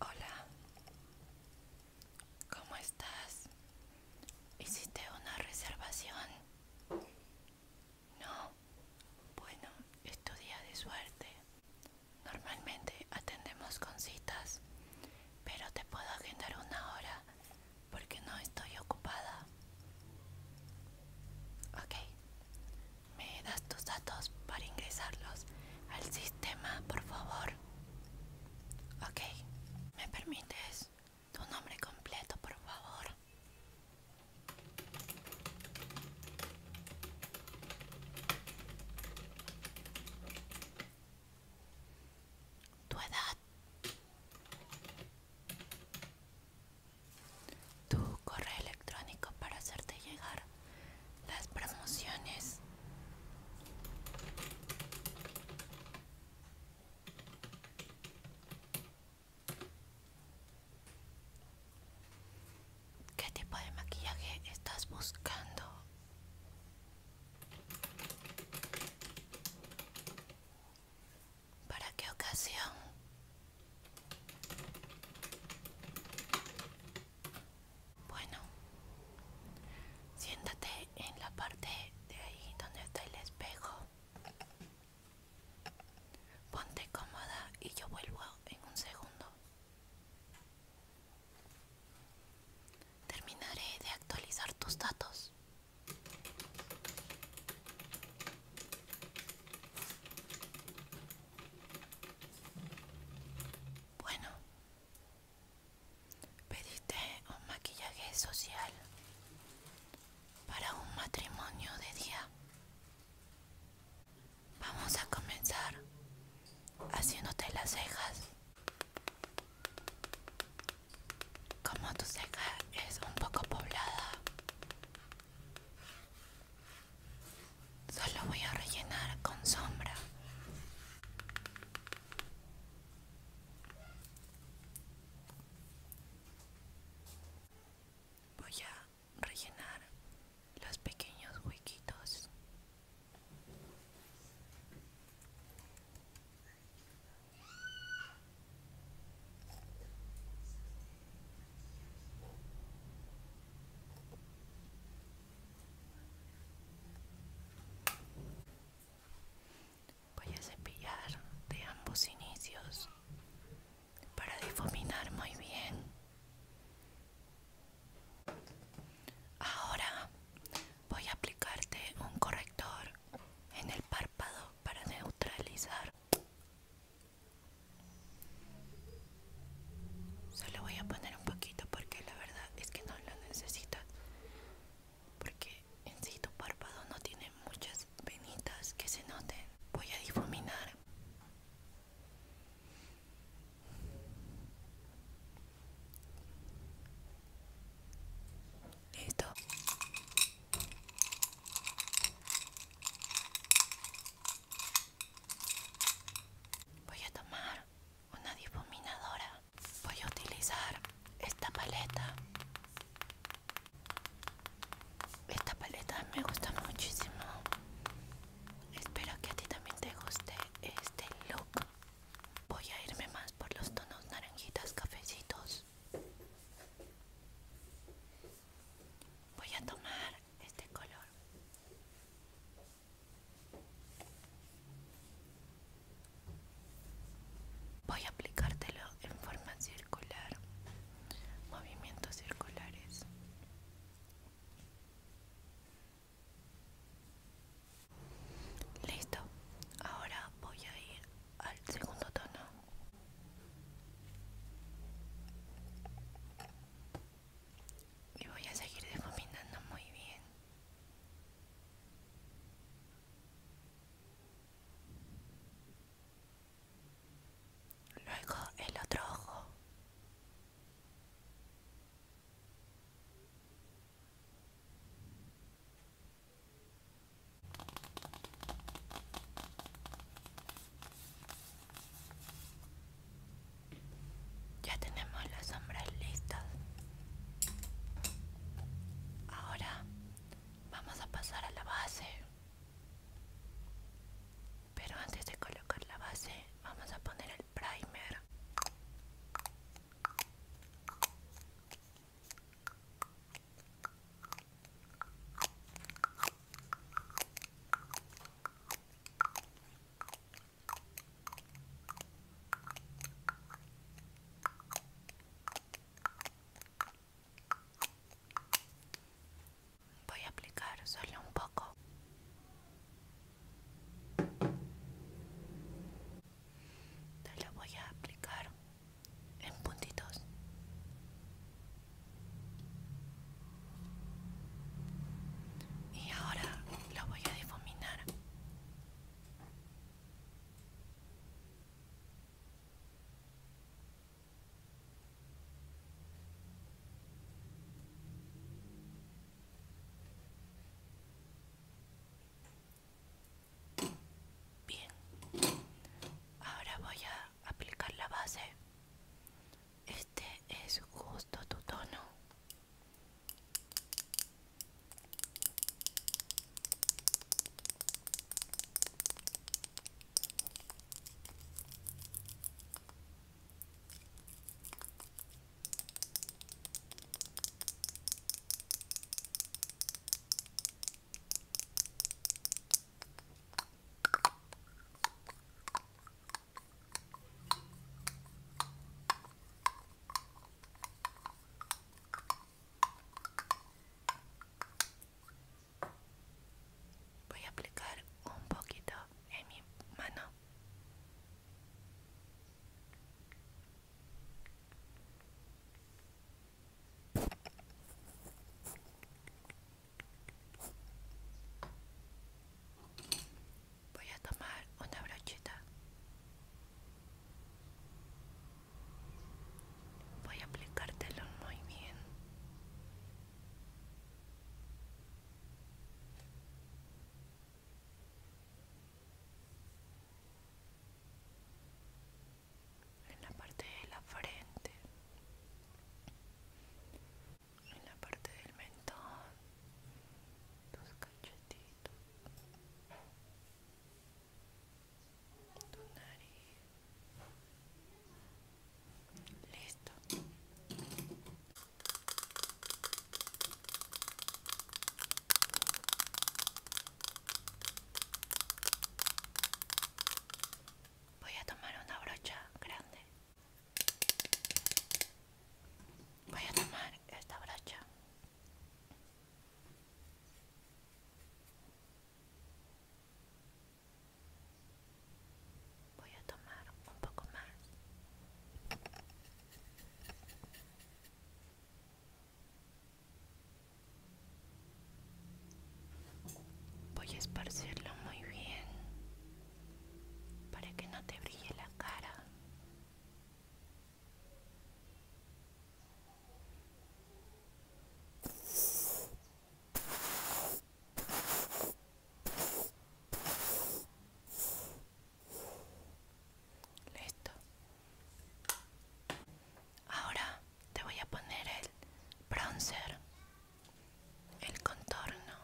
Hola, ¿cómo estás? ¿Hiciste una reservación? No, bueno, es tu día de suerte. Normalmente atendemos con citas, pero te puedo agendar una hora porque no estoy ocupada. ¿Me das tus datos para ingresarlos al sistema, por favor? Ok. ¿Me permites tu nombre completo, por favor? ¿Tu edad? tu correo electrónico para hacerte llegar las promociones. ¿Qué tipo de maquillaje estás buscando? ¿Para qué ocasión? Bueno, siéntate en la parte de ahí donde está el espejo. Ponte cómoda y yo vuelvo en un segundo. Terminaré de actualizar tus datos. Bueno, pediste un maquillaje social para un matrimonio de día. Vamos a comenzar haciéndote las cejas. Como tu ceja es un poco poblada, Solo voy a rellenar con sombra. Voy a rellenar los pequeños huequitos. Voy a cepillar de ambos inicios para difuminar muy bien. Ahora voy a aplicarte un corrector en el párpado para neutralizar Solo voy a poner un poquito porque la verdad es que no lo necesitas. Porque en sí tu párpado no tiene muchas venitas que se noten. Voy a difuminar. Listo. Voy a tomar una difuminadora. Voy a utilizar esta paleta. Esta paleta me gusta muchísimo. Espero que a ti también te guste este look. Voy a irme más por los tonos naranjitas cafecitos voy a tomar este color voy a aplicártelo en forma circular movimientos circulares listo ahora voy a ir al segundo tono y voy a seguir difuminando muy bien luego el otro ojo ya tenemos las sombras listas. Ahora vamos a pasar a la base. Pero antes de colocar la base, vamos a poner el primer. Voy a aplicar solo un poco. Te lo voy a aplicar en puntitos. Y ahora lo voy a difuminar. Bien, ahora voy a aplicar la base este es justo tu tono Voy a aplicar un poquito en mi mano. Voy a tomar una brocheta. Voy a aplicártelo muy bien en la parte de la frente, en la parte del mentón, tus cachetitos, tu nariz. Listo. Voy a tomar una brocha grande. Voy a tomar esta brocha. Voy a tomar un poco más. Voy a esparcirlo muy bien para que no te brille la cara. Listo, Ahora te voy a poner el bronzer, el contorno.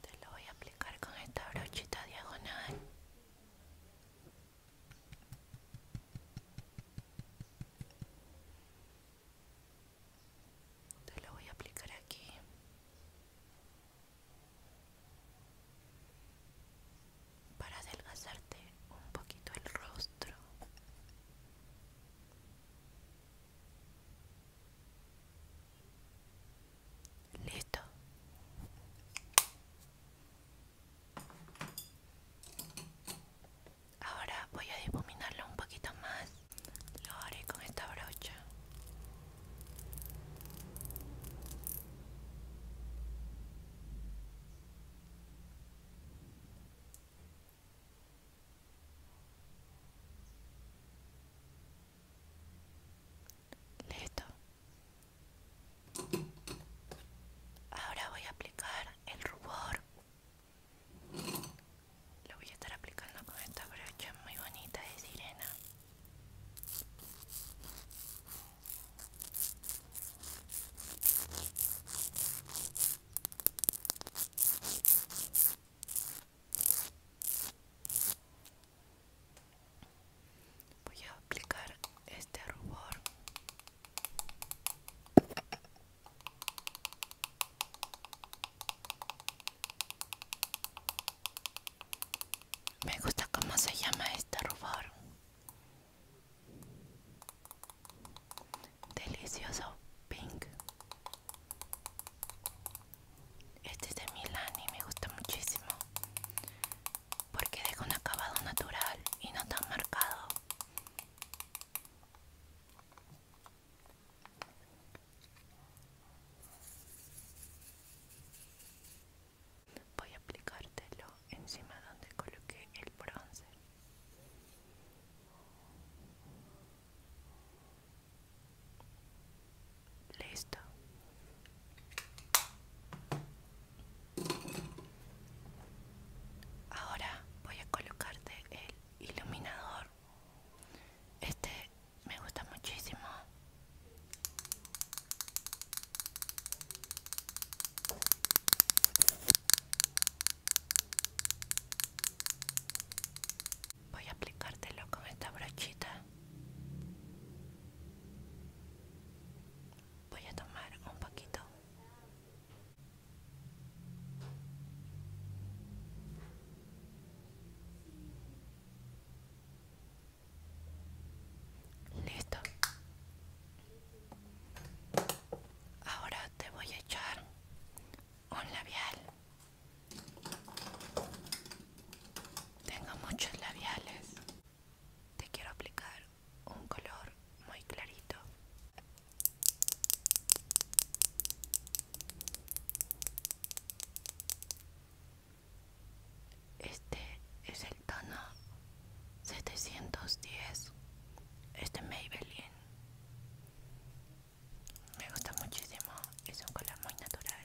Te lo voy a aplicar con esta brochita diagonal. Te lo voy a aplicar aquí. Para adelgazarte un poquito el rostro. Listo. Ahora voy a difuminarlo un poquito más. Lo haré con esta brocha. Listo. Ahora voy a aplicar el rubor. Lo voy a estar aplicando con esta brocha muy bonita de sirena voy a aplicar este rubor me gusta cómo se llama este rubor delicioso pink este es de milani me gusta muchísimo porque deja un acabado natural y no tan marcado. Voy a aplicártelo encima donde coloqué el bronce Listo, Ahora voy a colocarte el iluminador. Este me gusta muchísimo. Voy a aplicártelo con esta brochita voy a tomar un poquito listo ahora te voy a echar un labial tengo muchos labiales te quiero aplicar un color muy clarito este es el tono 710 este Maybelline me gusta muchísimo es un color muy natural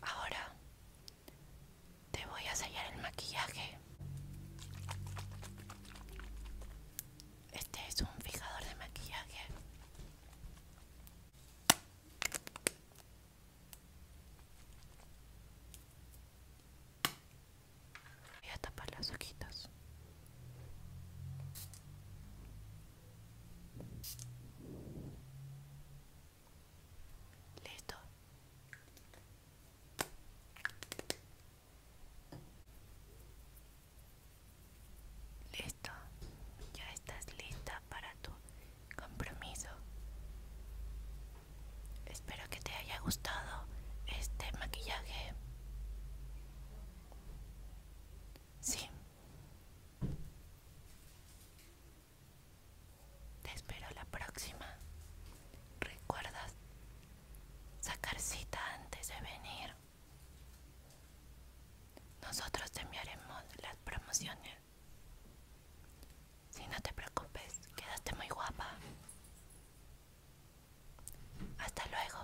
Ahora te voy a sellar el maquillaje. Este es un fijador de maquillaje. Voy a tapar las hojitas. Listo. Listo. Ya estás lista para tu compromiso. Espero que te haya gustado este maquillaje. Sí. Te espero la próxima. Recuerda sacar cita antes de venir. Nosotros te enviaremos las promociones. Si no te preocupes, quedaste muy guapa. Hasta luego.